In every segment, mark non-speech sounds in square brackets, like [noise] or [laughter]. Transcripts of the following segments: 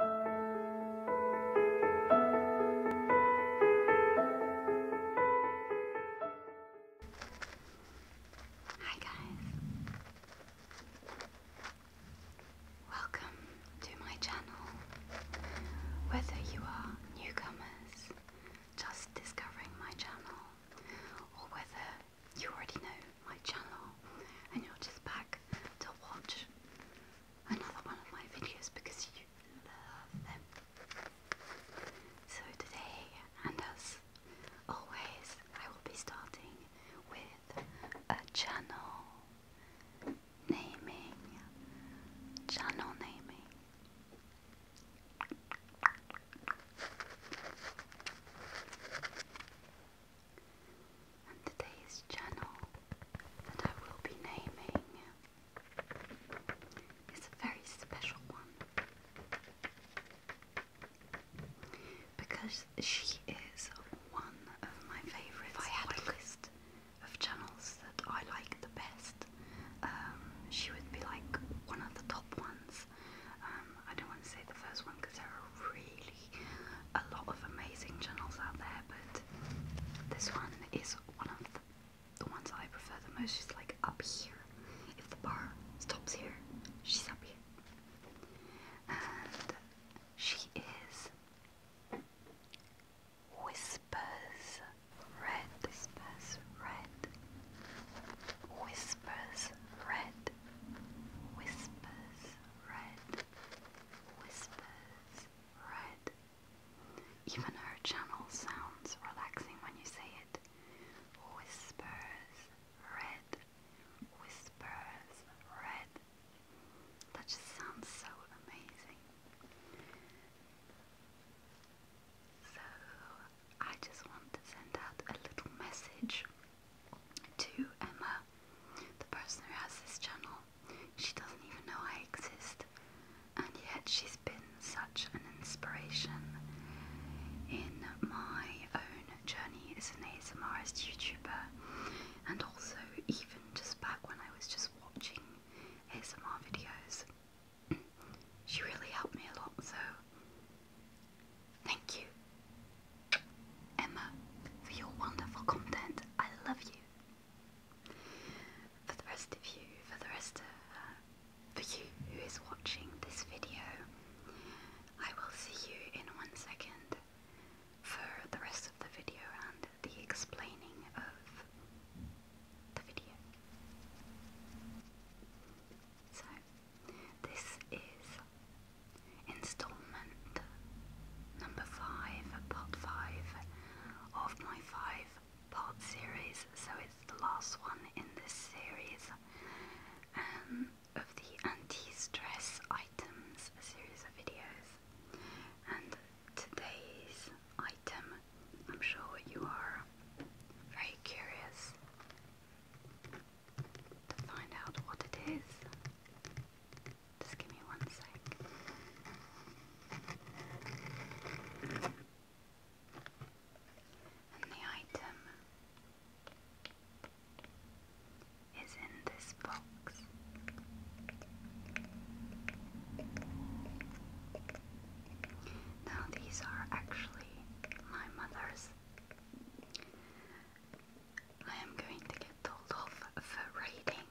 Hi guys. Welcome to my channel. Whether you are newcomers just discovering my channel or whether you already know my channel and you're just back to watch another one of my videos because you love them. So today, and as always, I will be starting with a channel naming, channel naming today's channel that I will be naming is a very special one because she is one of my favourites. If I had a list of channels that I like the best, um, she would be like one of the top ones. Um, I don't want to say the first one because there are really a lot of amazing channels out there, but this one is one of the, ones I prefer the most. She's like up here. If the bar stops here, she's up here. And she is Whispers Red. Whispers Red. Whispers Red. Whispers Red whispers, red. Even her channel sounds relaxing when you say it. Whispers, red. Whispers, red. That just sounds so amazing. So, I just want to send out a little message to Emma, the person who has this channel. She doesn't even know I exist, and yet she's been such an inspiration in my own journey as an ASMRist YouTuber, and also even just back when I was just watching ASMR videos. [clears throat] She really helped me a lot, so Thank you, Emma, for your wonderful content. I love you. For the rest of you, for the rest of, uh, for you who is watching this video, I will see you in one second for the rest of the video and the explaining of the video. So, this is installment number 5, part 5 of my 5 part series, so it's the last one in this series um, of the anti stress items series of videos. And today's item, I'm sure you are very curious find out what it is. Just give me one sec. And the item is in this box. Now, these are actually my mother's I am going to get told off for raiding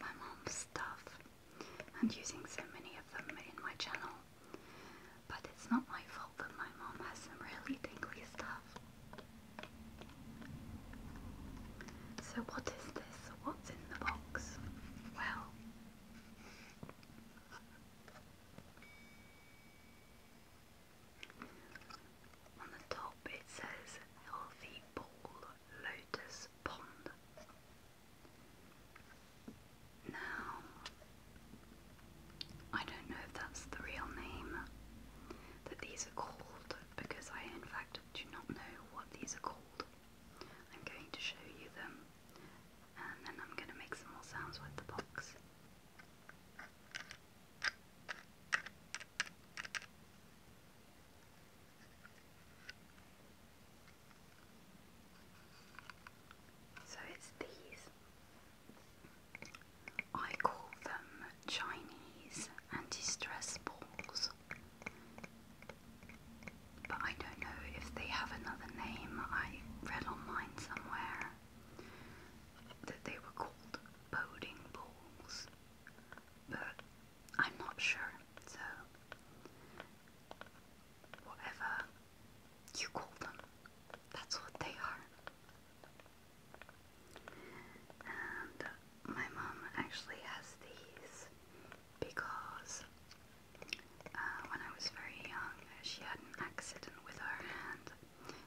my mom's stuff and using so many of them in my channel. But it's not my fault that my mom has some really tingly stuff. So what is this? What's in the box? Well... On the top it says Healthy Bowl Lotus Pond. Now, I don't know if that's the real name that these are called because I, in fact, do not know what these are called. I'm going to show you them and then I'm going to make some more sounds with the box. So it's these. I call them Chinese anti stress balls, but I don't know if they have another name. I read online somewhere that they were called boating balls but I'm not sure, so whatever you call them, that's what they are. And my mum actually has these because uh, when I was very young, she had an accident with her hand,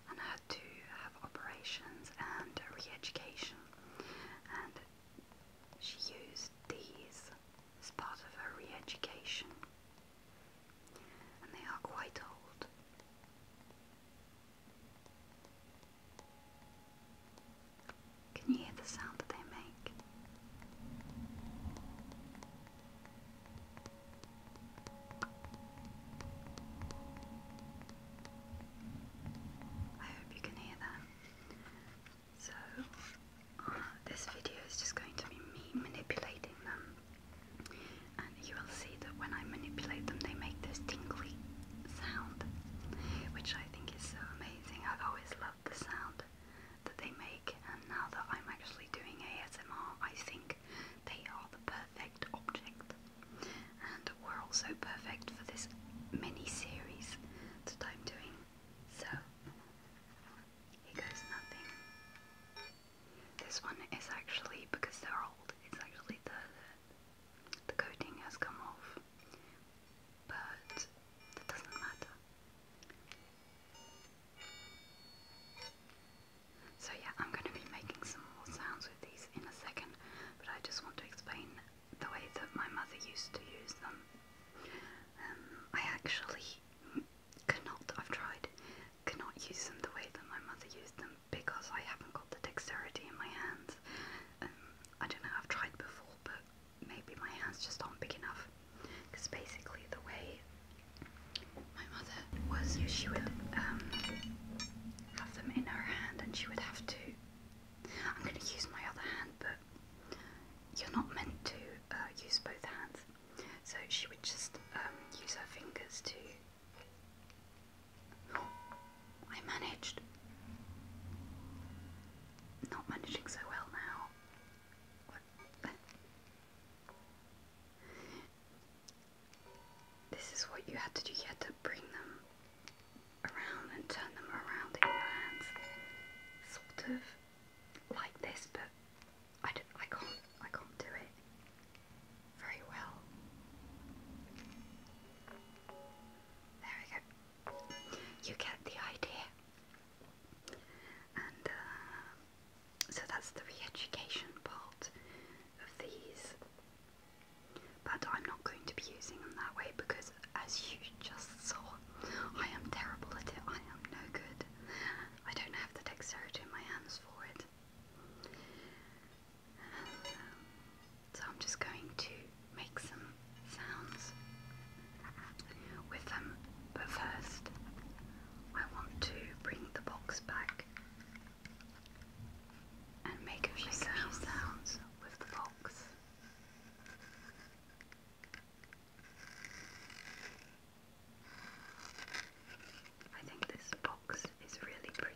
and had to have operations and re-education and she used these as part of her re-education and they are quite old. Can you hear the sound that they make? I hope you can hear that. So, uh, this video is just going to be me manipulating them. And you will see that when I manipulate them, they make this tinkly sound, which I think is so amazing. I've always loved the sound that they make, and now that I'm actually doing ASMR, I think they are the perfect object and were also perfect for this mini series that I'm doing. So, here goes nothing. This one is actually, because they're old, it's actually the, the, coating has come off, but it doesn't matter. So yeah, I'm going to be making some more sounds with these in a second, but I just want to explain the way that my mother used to use them. Um, I actually cannot, I've tried, cannot use them the way that my mother used them because I haven't got the dexterity in my hands. Um, I don't know, I've tried before, but maybe my hands just aren't big enough. Because basically, the way my mother was, she would um, have them in her hand and she would have to I'm going to use my other hand, but you're not meant to uh, use both hands. So she would just um, use her fingers to. I managed. Not managing so well now. This is what you had to do. You had to bring them around and turn them around in your hands, sort of like this, but I, don't, I can't I can't do it very well. There we go. You get the idea. And uh, so that's the re-education part of these but I'm not going to be using them that way because, as you just saw, I am terrible at it. I am no good. I don't have the dexterity in my hands for it. so I'm just going to make some sounds with them. But first, I want to bring the box back and make a few sounds with the fox. I think this box is really pretty.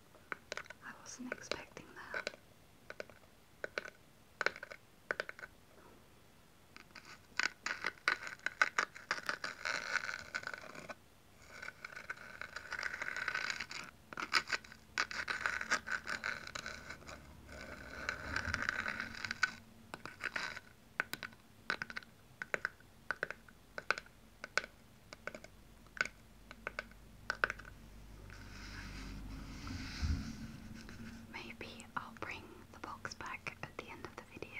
I wasn't expecting that. Maybe I'll bring the box back at the end of the video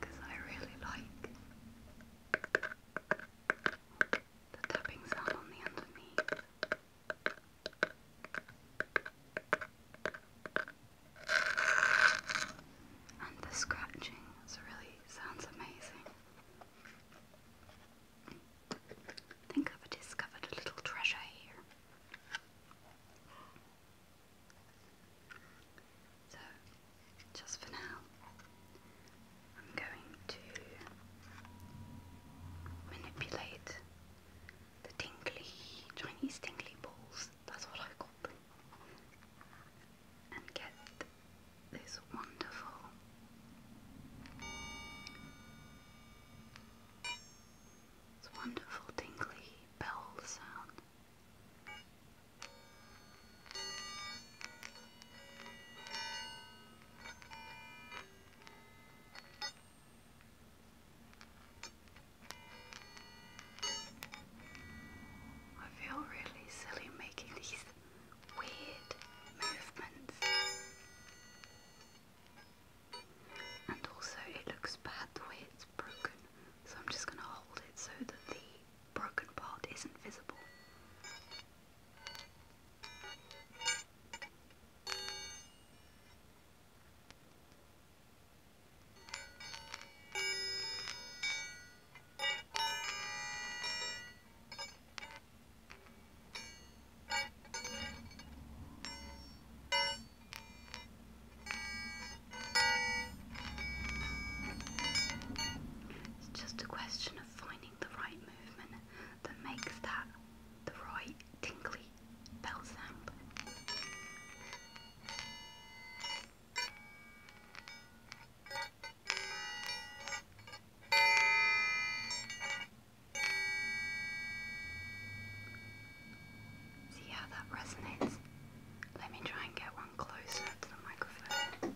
because I really like the tapping sound on the underneath and the scratching really sounds amazing. I think I've discovered a little treasure here. So, just for now, I'm going to manipulate the tingly, Chinese tingly balls, that's what I call them and get this wonderful this wonderful tingly bell sound. I feel really silly making these weird movements. And also it looks bad the way it's broken, so I'm just gonna hold it so that the broken part isn't visible. It's just a question of finding the right movement that makes that the right tingly bell See how that resonates? Let me try and get one closer to the microphone.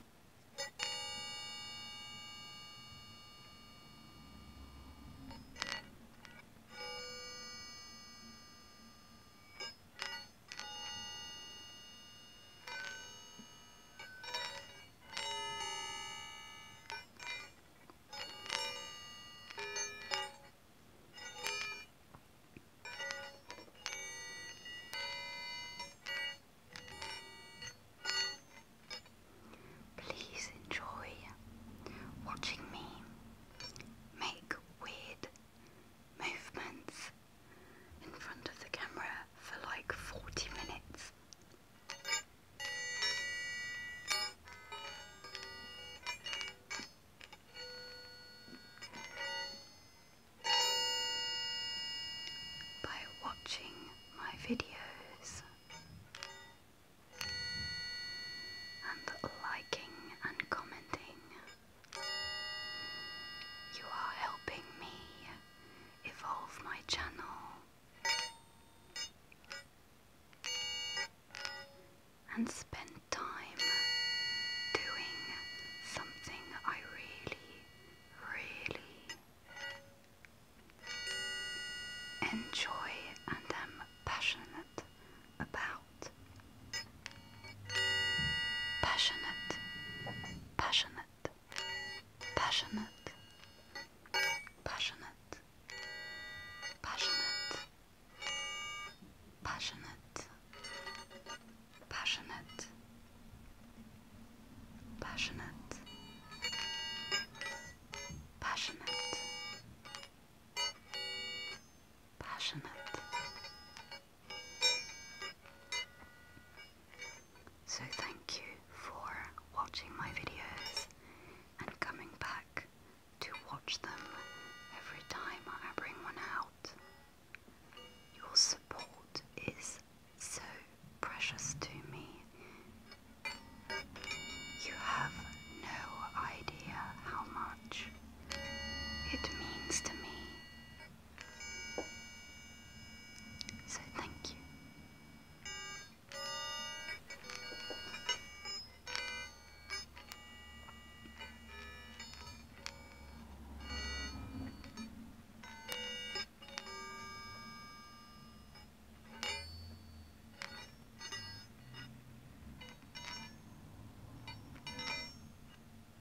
Please enjoy watching me make weird movements in front of the camera for like 40 minutes. By watching my videos and liking and commenting. You are helping me evolve my channel and spend time doing something I really, really enjoy and am passionate about. Passionate, passionate passionate, passionate, passionate, passionate, passionate, passionate, passionate, passionate. So thank you for watching my videos and coming back to watch them every time I bring one out. Your support is so precious to me. You have no idea how much it means to me so thank you.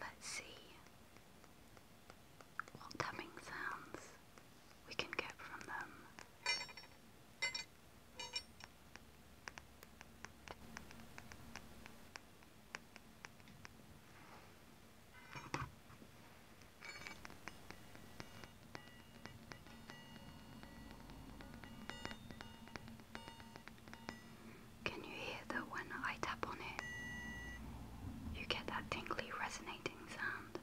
Let's see what tapping sounds we can get from them. Can you hear that when I tap on it, you get that tinkly, resonating sound?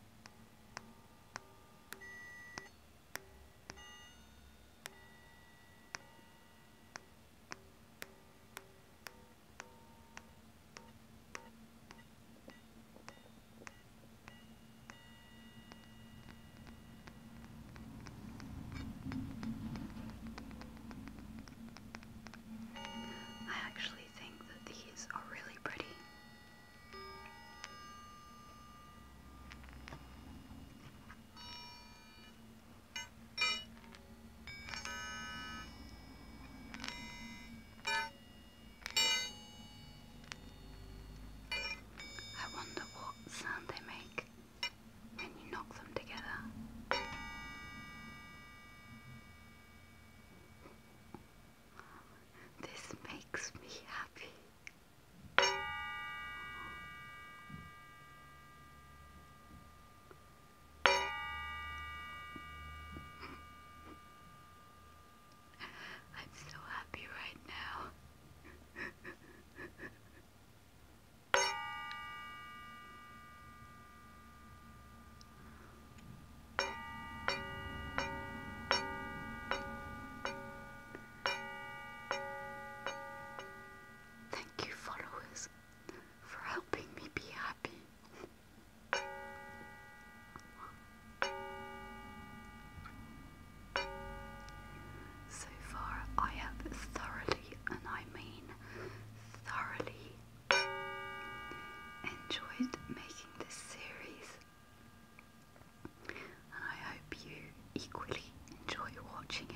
I actually think that these are really pretty. I wonder what sound they make when you knock them together. This makes me happy. I'm so happy right now. Thank you, followers, for helping me be happy. So far, I have thoroughly, and I mean thoroughly, enjoyed making this series and I hope you equally enjoy watching it.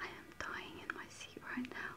I am dying in my seat right now.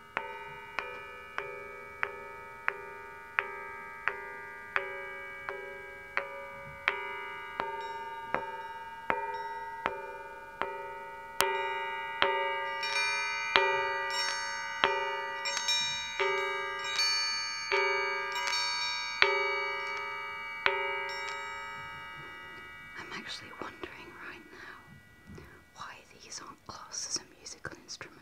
I'm actually wondering right now why these are Class is a musical instrument.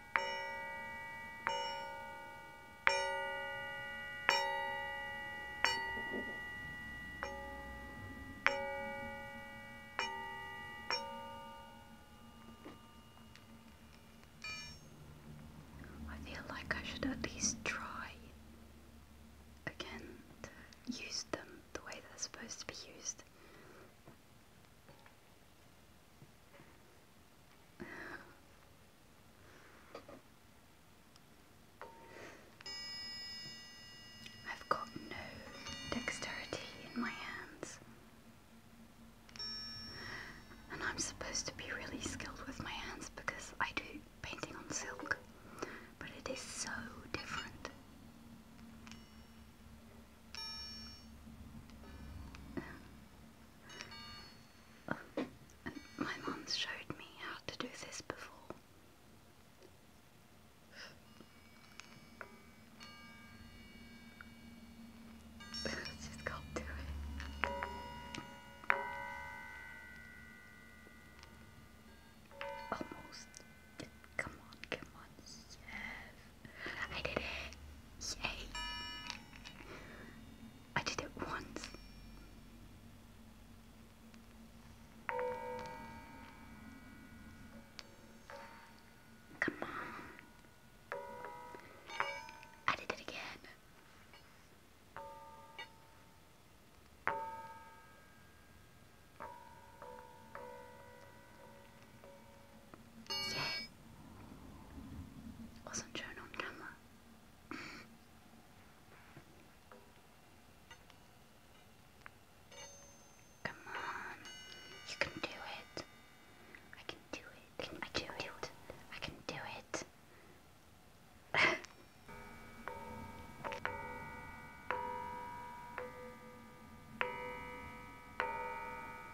I feel like I should at least try again to use them the way they're supposed to be used. I've got no dexterity in my hands. And I'm supposed to be really skilled with my hands because I do painting on silk, but it is so different my mom showed me how to do this before. Just [laughs] can't do it. Almost. Come on, come on, yes. I did it. Yay. I did it once. Come on. I did it again. Yeah. Wasn't shown on camera. Come on. You can do it. I can do it. Can I can do, it. I can do it. [laughs]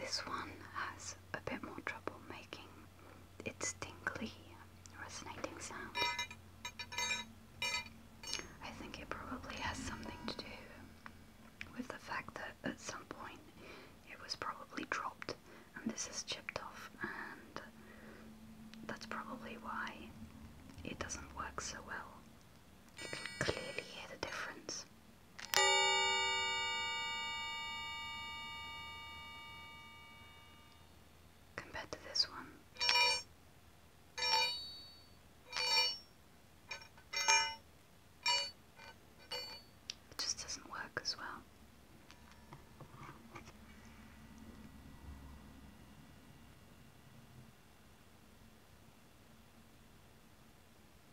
This one has a bit more trouble making its tingly, resonating sound. I think it probably has something to do with the fact that at some point it was probably dropped and this is chipped off and that's probably why it doesn't work so well. You can clearly hear the difference compared to this one. It just doesn't work as well.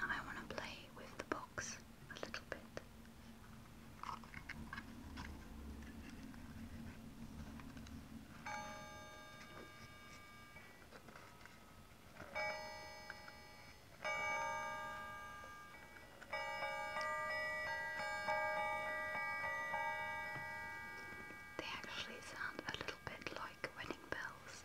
I want to play with the box a little bit. They actually sound a little bit like wedding bells.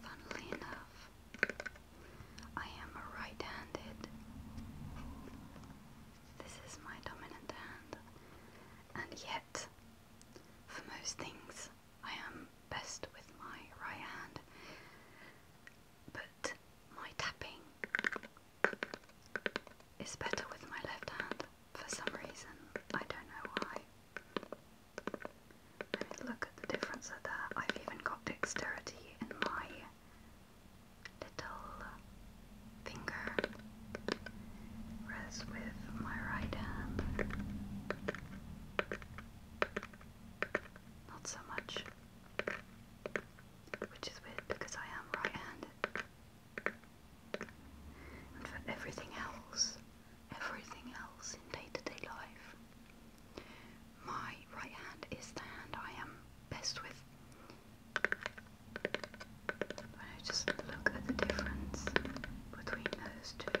Funnily enough, I am a right handed. This is my dominant hand, and yet, for most things, I am best with my right hand. But my tapping it's better with my left hand for some reason. I don't know why. look at the difference of I've even got dexterity in my little finger, whereas with my right hand, not so much which is weird because I am right-handed. And for everything else, everything else in day-to-day -day life, my right hand is the hand I am best with. When I just look at the difference between those two.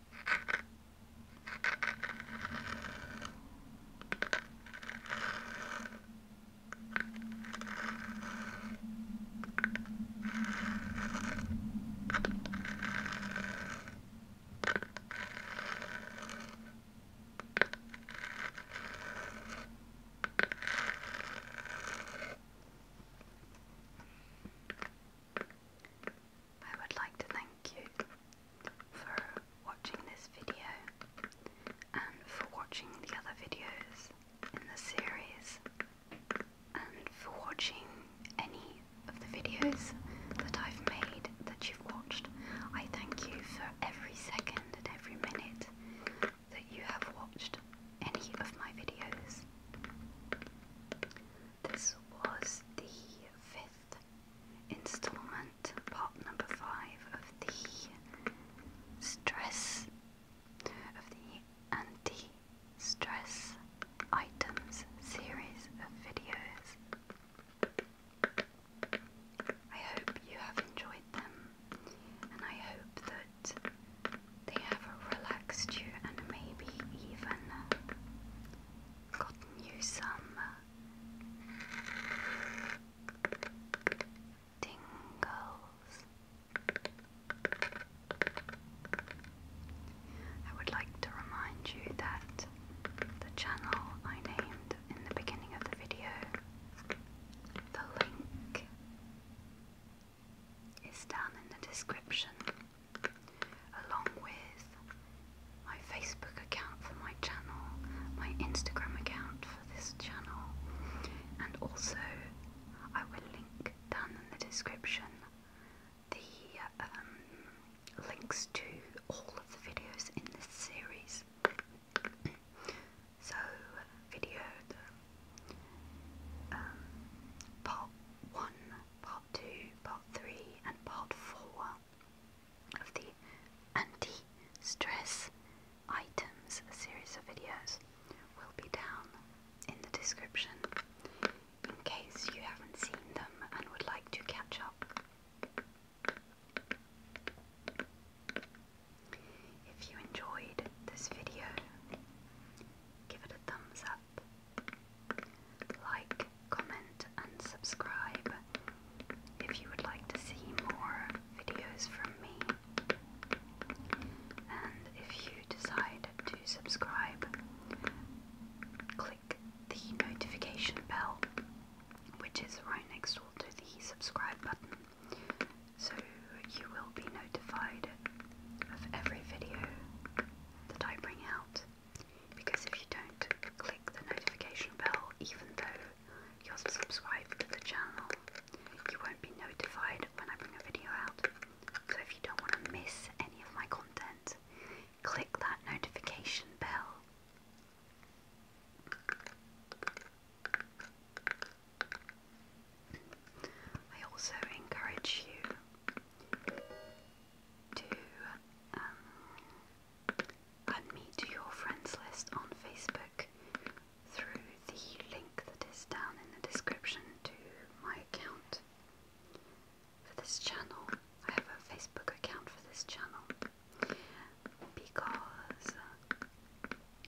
I would like to thank Thank you for watching this video and for watching the other videos in the series and for watching any of the videos that I've made that you've watched. I thank you for every second and every minute that you have watched any of my videos. This was the fifth installment, part number five of the stress of the anti stress items series of videos. I hope you have enjoyed them and I hope that they have relaxed you and maybe even gotten you some uh, tingles. I would like to remind you that the channel I named in the beginning of the video, the link is down in the description along with my Facebook account for my channel, my Instagram account for this channel, and also I will link down in the description the um, links to all of the videos in this series. so, video the, um, part 1, part 2, part 3, and part 4 of the anti-stress items series of videos will be down in the description in case you haven't seen them and would like to catch up. If you enjoyed this video, give it a thumbs up, like comment, and subscribe if you would like to see more videos from me. And if you decide to subscribe, click the notification bell, which is right next to the subscribe button, so you will be notified of every video that I bring out. Because if you don't click the notification bell, even though you're subscribed to the channel, you won't be notified when I bring a video out. So if you don't want to miss any of my content, click that notification bell. I also encourage you to um, Add me to your friends list on Facebook through the link that is down in the description to my account for this channel. I have a Facebook account for this channel because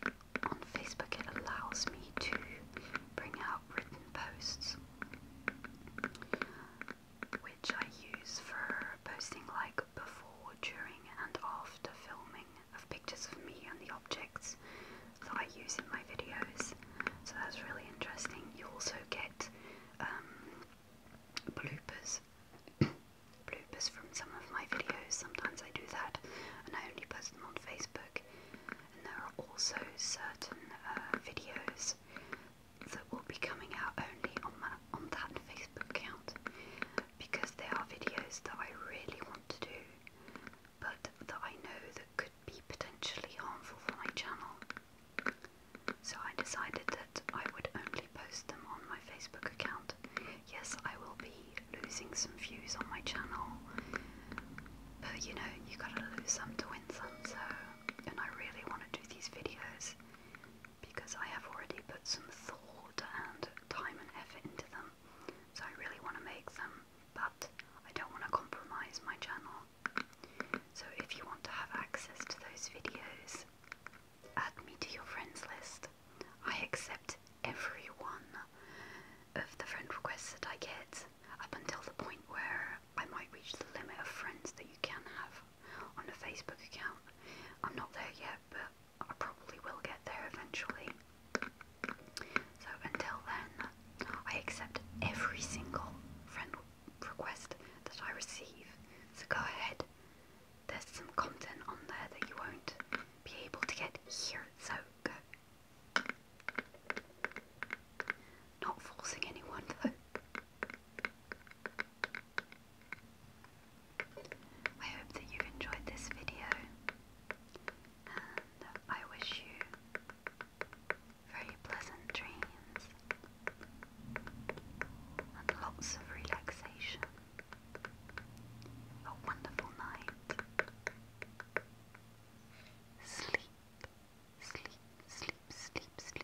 uh, on Facebook it allows me to bring out written posts which I use for posting like before, during, and after filming of pictures of me and the objects that I use in my videos. So that's really interesting. You also get um, bloopers. [coughs] bloopers from some of my videos. Sometimes I do that and I only post them on Facebook. And there are also certain uh, videos that will be coming out only on, my, on that Facebook account because there are videos that I really want to do but that I know that could be potentially harmful for my channel. So I decided that I would only post them on my Facebook account. Yes, I will be losing some views on my channel, but you know, you gotta lose some to win some, so. And I really want to do these videos because I have already put some thought and time and effort into them. So I really want to make them, but I don't want to compromise my channel. So if you want to have access to those videos, add me to your friends list. I accept every one of the friend requests that I get up until the point where I might reach the limit of friends that you can have on a Facebook account. I'm not there yet, but I probably will get there eventually. So until then, I accept every single friend request that I receive. So go ahead. There's some content on there that you won't be able to get here, so go. Not forcing anyone [laughs] though. I hope that you enjoyed this video I wish you very pleasant dreams and lots of relaxation. A wonderful night. Sleep, sleep, sleep, sleep, sleep.